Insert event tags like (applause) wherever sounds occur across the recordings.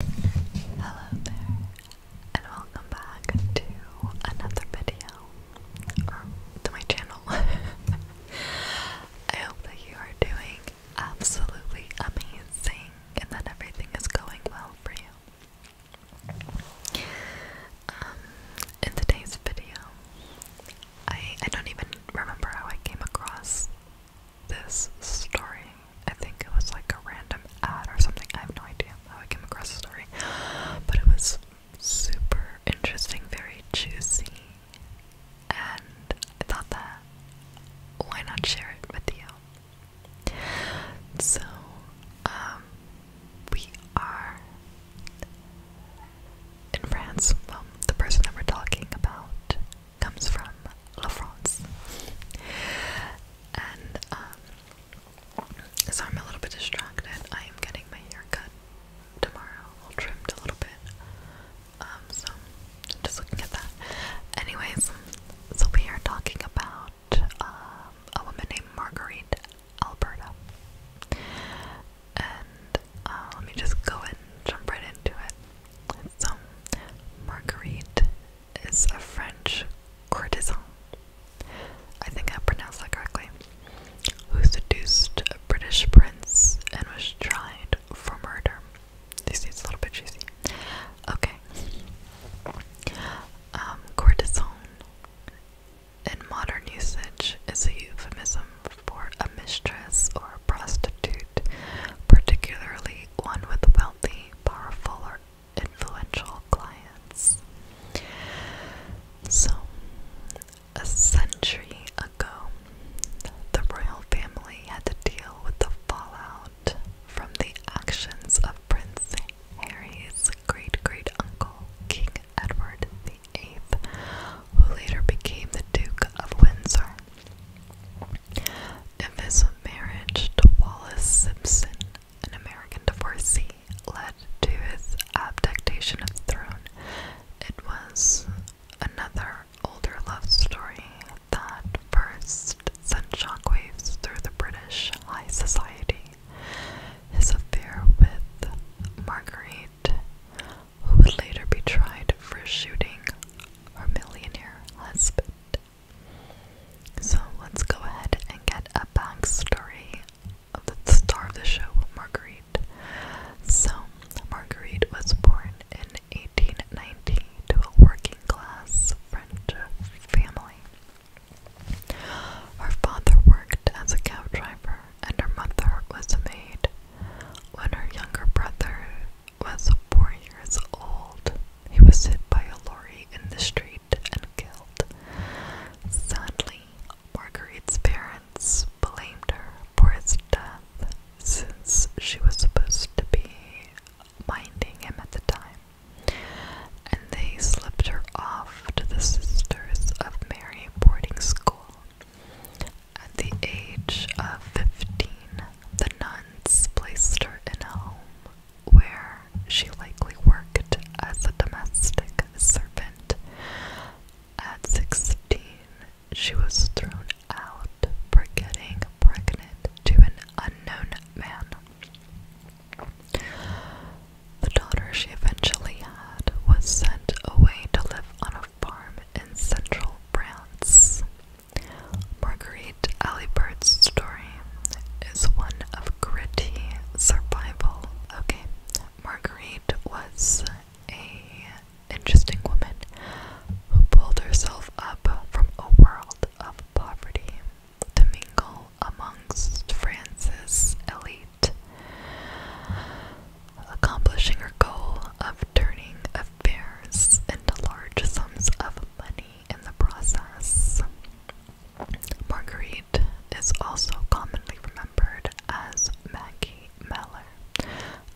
Hello there, and welcome back to another video, to my channel. (laughs) I hope that you are doing absolutely amazing and that everything is going well for you. Um, in today's video, I, I don't even remember how I came across this story. I think it was like a random ad or something. I have no idea how I came across the story. But it was super interesting, very juicy. And I thought that why not share it with you? So, um, we are in France. Well, the person that we're talking about comes from La France. And um, I'm a little bit distracted. I am getting my hair tomorrow, trimmed a little bit. Um, so just looking at that. Anyways, we'll be here talking about um, a woman named Marguerite Alberta. And uh, let me just go and jump right into it. So, Marguerite is a French courtesan. I think I pronounced that correctly. Who seduced a British prince and was tried for murder. This seems a little bit cheesy. Okay. Um, courtesan in modern usage is a euphemism for a mistress or prostitute particularly one with wealthy, powerful, or influential clients. So, a century ago, the royal family had to deal with the fallout from the actions of Prince Harry's great great uncle, King Edward VIII, who later became the Duke of Windsor. If his marriage to Wallace Simpson, an American divorcee, led to his abdication of the throne, it was another older love story that first sent shockwaves through the British high society. His affair with Marguerite, who would later be tried for shooting or millionaire husband. So let's go ahead and get a story of the star of the show, Marguerite. So, Marguerite was born in 1890 to a working class French family. Her father worked as a cow driver, and her mother was a maid. When her younger brother was four years old. He was hit by a lorry in the street and killed. Sadly, Marguerite's parents blamed her for his death since she was supposed to be minding him at the time, and they slipped her off to the Sisters of Mary boarding school. At the age of 15, the nuns placed her in a home where she likely worked as a domestic servant. At 16, she was thrown out for getting pregnant to an unknown man. The daughter she eventually had was sent away to live on a farm in central France. Marguerite Alibert's story is one of gritty survival. Okay, Marguerite was a interesting woman who pulled herself up from a world of poverty to mingle amongst France's elite, accomplishing her goal of turning affairs into large sums of money in the process. Marguerite is also commonly remembered as Maggie Meller,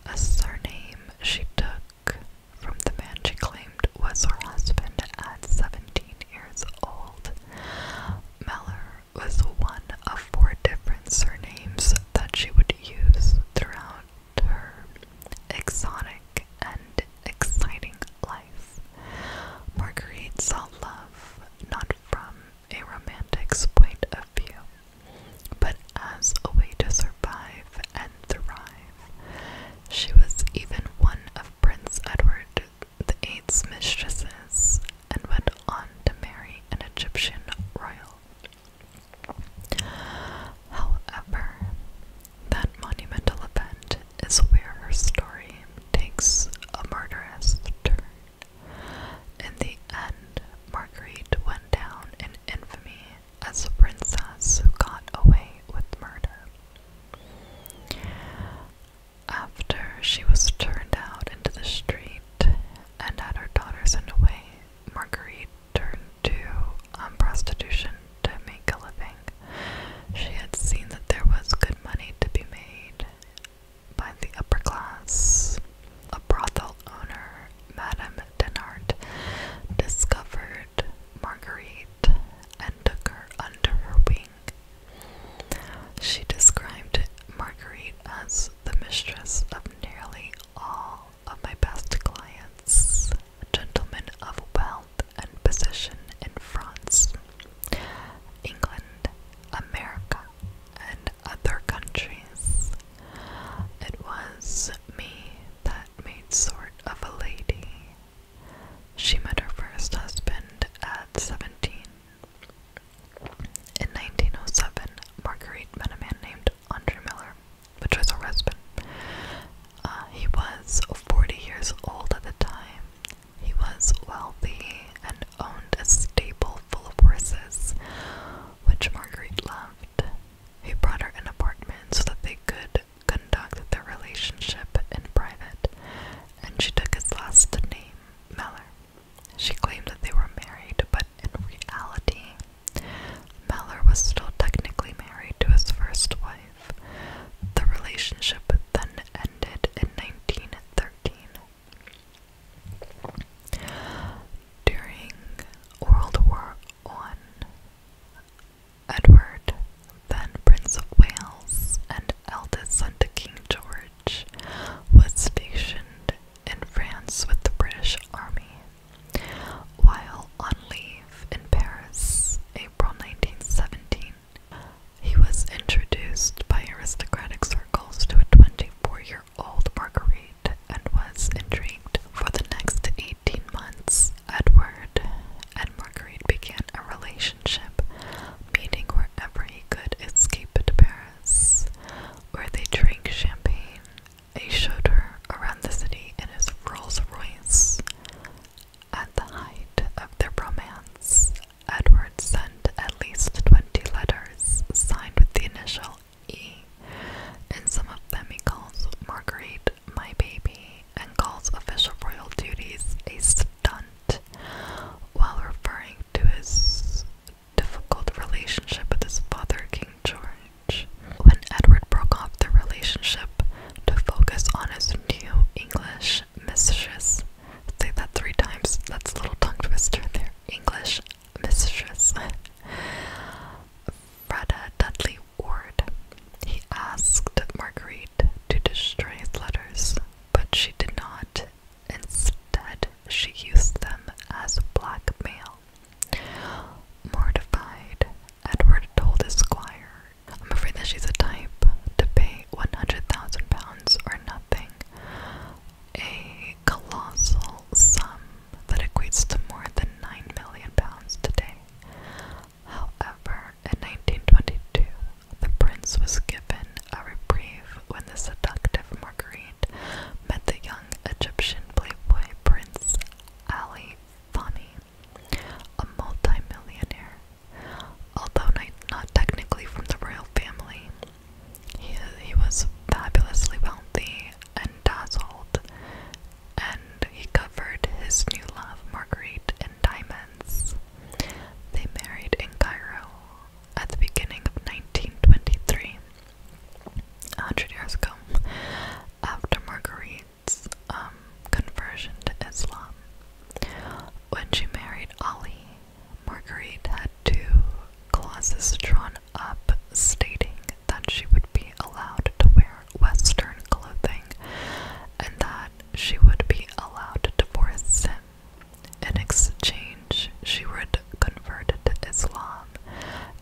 a surname she took from the man she claimed was her husband at 17 years old. Meller was one of four different surnames that she would use throughout her exotic and exciting life. Marguerite saw love not from a romantic's point of view, but as a way to survive and thrive. She was even one of Prince Edward the Eighth's mistresses and went on to marry an Egyptian royal. However, that monumental event is where her story takes a murderous turn. In the end, Marguerite went down in infamy as a princess who got away with murder. After she was turned out into the street and had her daughters sent away, Marguerite turned to um, prostitution to make a living. She had seen that there was good money to be made by the upper class. A brothel owner, Madame Denard, discovered Marguerite and took her under her wing. She described Marguerite as the mistress of nearly all of my best clients, gentlemen of wealth and position in France, England, America, and other countries. It was me that made sort of a lady. She met her first husband at 17. In 1907, Marguerite met a man named Andrew Miller, which was her husband. Uh, he was 40 years old at the time. He was wealthy and owned a stable full of horses, which Marguerite loved. He brought her an apartment so that they could conduct their relationship in private, and she took his last name, Miller. She claimed that they were married, but in reality, Mellor was still technically married to his first wife. The relationship then ended in 1913. During World War I, Edward, then Prince of Wales and eldest son to King George, was stationed in France with the British Army. While on leave in Paris, April 1917, he was introduced by aristocratic circles to a 24 year old Marguerite and was intrigued. For the next 18 months, Edward and Marguerite began a relationship, meeting wherever he could escape to Paris, where they drank champagne a shudder around the city in his Rolls Royce. At the height of their romance, Edward sent at least twenty letters signed with the initial E, and some of them he calls Marguerite my baby and calls official royal duties a stunt while referring to his difficult relationship with his father, King George. When Edward broke off the relationship to focus on his new English mistress, say that three times, that's a little tongue twister there. English mistress, (laughs) Freda Dudley Ward. He asked Marguerite to destroy his letters, but she did not, Instead, she used them as blackmail. Mortified, Edward told his squire, I'm afraid that she's a type to pay 100,000 pounds or nothing. A colossal sum that equates to more than 9 million pounds today. However, in 1922, the prince was given a reprieve when the seductive Marguerite met the young Egyptian playboy Prince Ali Fani, a multimillionaire. Although not technically from the royal family, he, was fabulously wealthy and dazzled, and he covered his new love, Marguerite, in diamonds. They married in Cairo at the beginning of 1923 hundred years ago, after Marguerite's um, conversion to Islam. When she married Ali, Marguerite had two clauses drawn up stating that she would be allowed to wear Western clothing and that she would be allowed to divorce in exchange, she would convert to Islam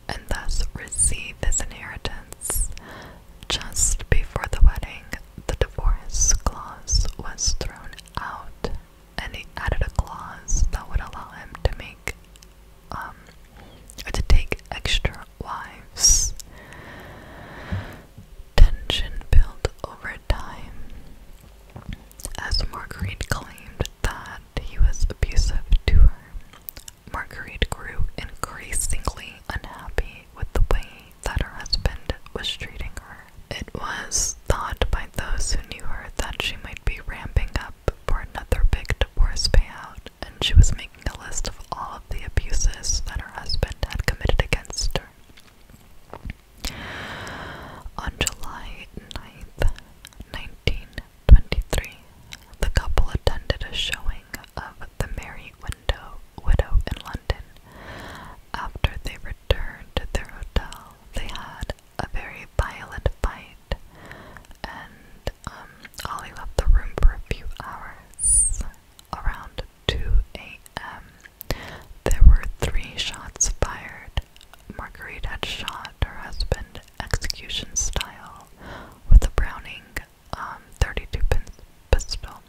and thus receive his inheritance. Just before the wedding, the divorce clause was thrown out, and he added a clause that would allow him to make um to take extra wives. Tension built over time as Marguerite claimed that he was abusive to her. Marguerite grew increasingly unhappy with the way that her husband was treating her. It was thought by those who knew her that she might be ramping up for another big divorce payout, and she was making a list of all of the abuses that her husband had committed against her. On July 9th, 1923, the couple attended a showing of The Merry Window Widow in London. After they returned to their hotel, they had a very violent fight, and um, left the room for a few hours. Around 2 a.m., there were three shots fired. Marguerite had shot her husband execution style with a Browning um, 32 pin pistol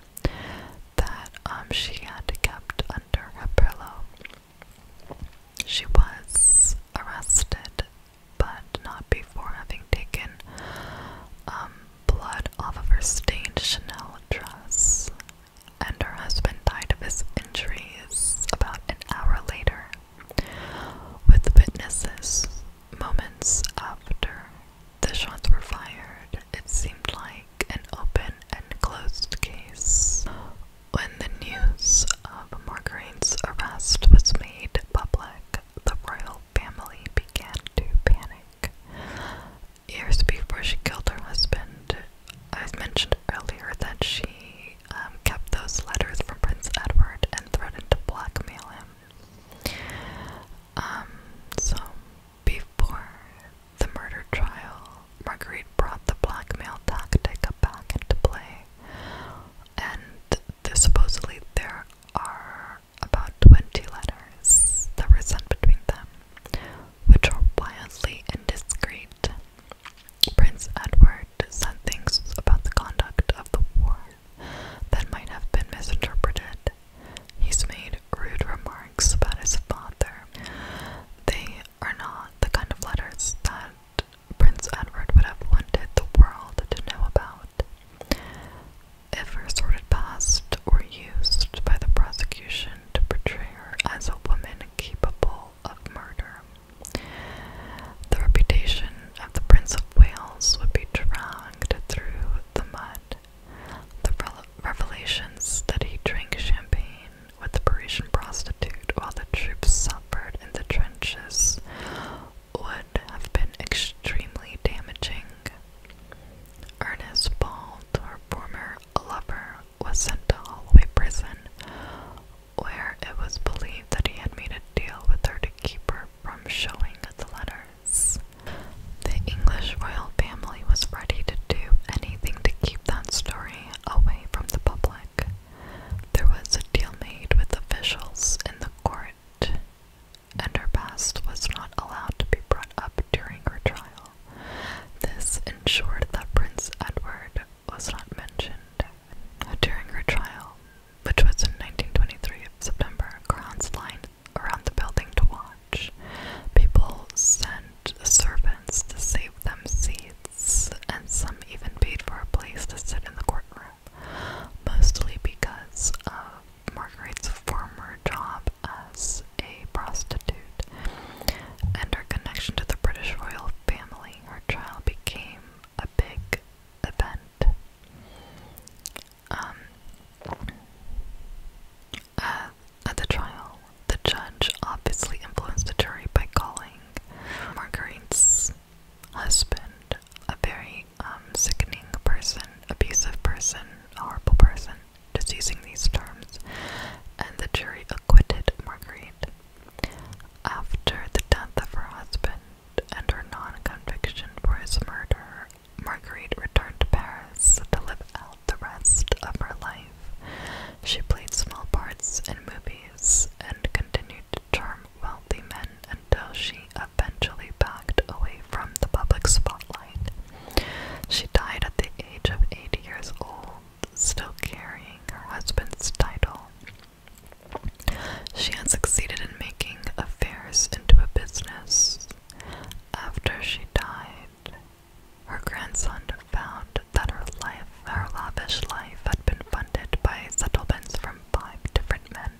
that um, she had kept under her pillow. She was arrested, but not before having taken um, blood off of her stained Chanel dress, and her husband died of his injuries about an hour later, with witnesses moments after the shots were fired. It seemed like an open and closed case. When the news of Marguerite's arrest was made public, the royal family began to panic. Years before she killed her husband, I've mentioned earlier that she um, kept those letters from Prince Edward and threatened to blackmail him. Um, so, before the murder trial, Marguerite brought the blackmail tactic back into play, and the, supposedly there are about 20 letters that were sent between them, which are wildly indiscreet Prince Edward said things about the conduct of the war that might have been misinterpreted. He's made rude remarks about his father. They are not the kind of letters that Prince Edward would have wanted the world to know about. If her past were used by the prosecution to portray her as a woman capable of murder. The reputation of the Prince of Wales would be dragged through the mud. The revelations that he drank champagne with a Parisian prostitute while the troops suffered in the trenches would have been extremely damaging. Ernest Bald, her former lover, was sent to Holloway Prison, where it was believed that he had made a deal with her to keep her from showing the letters. The English royal family was ready to do anything to keep that story away from the public. There was a deal made with officials in the court, and her past was not allowed to be brought up during her trial. This ensured that Prince Edward was not mentioned during her trial, which was in 1923 September. Crowds lined around the building to watch. People sent servants to save them seats, and some even paid for a place to sit in the courtroom, mostly because of Margaret's former job as a prostitute, and her connection to the British royal family, her trial became a big event. Um, uh, at the trial, the judge obviously influenced the jury by calling Marguerite's husband a very um, sickening person, abusive person, horrible person just using these terms, and the jury acquitted Marguerite. After the death of her husband and her non conviction for his murder, Marguerite returned to Paris to live out the rest of her life. She played small parts in movies and continued to charm wealthy men until she eventually backed away from the public spotlight. She died at the age of 80 years old, still carrying her husband's title. She had succeeded in making affairs into a business. After she died, her grandson found that her life, her lavish life, had been funded by settlements from five different men.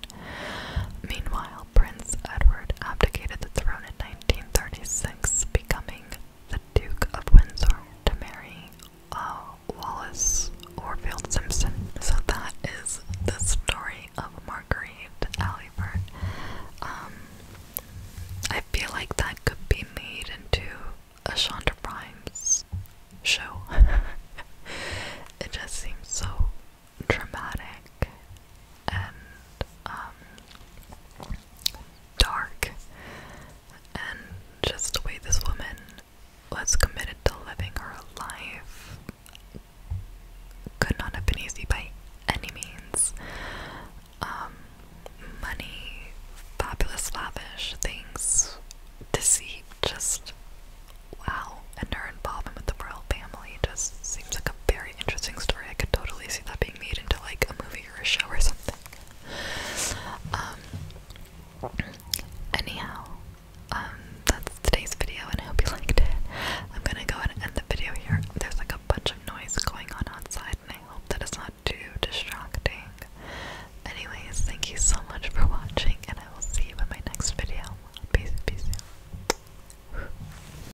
Meanwhile, Prince Edward abdicated the throne in 1936 becoming the Duke of Windsor to marry uh, Wallace Orfield Simpson. So that is the story of Marguerite Aliford. Um, I feel like that could be made into a Shonda Rhimes show. (laughs) it just seems so dramatic and um dark, and just the way this woman was committed to living her life could not have been easy by any means. Um, money, fabulous, lavish things, deceit, just wow. And her involvement with the royal family just seems like a very interesting story. I could totally see that being made into like a movie or a show or something. Um, anyhow, um, that's today's video, and I hope you liked it. I'm gonna go and end the video here. There's like a bunch of noise going on outside, and I hope that it's not too distracting. Anyways, thank you so much for watching, and I will see you in my next video. Peace, peace.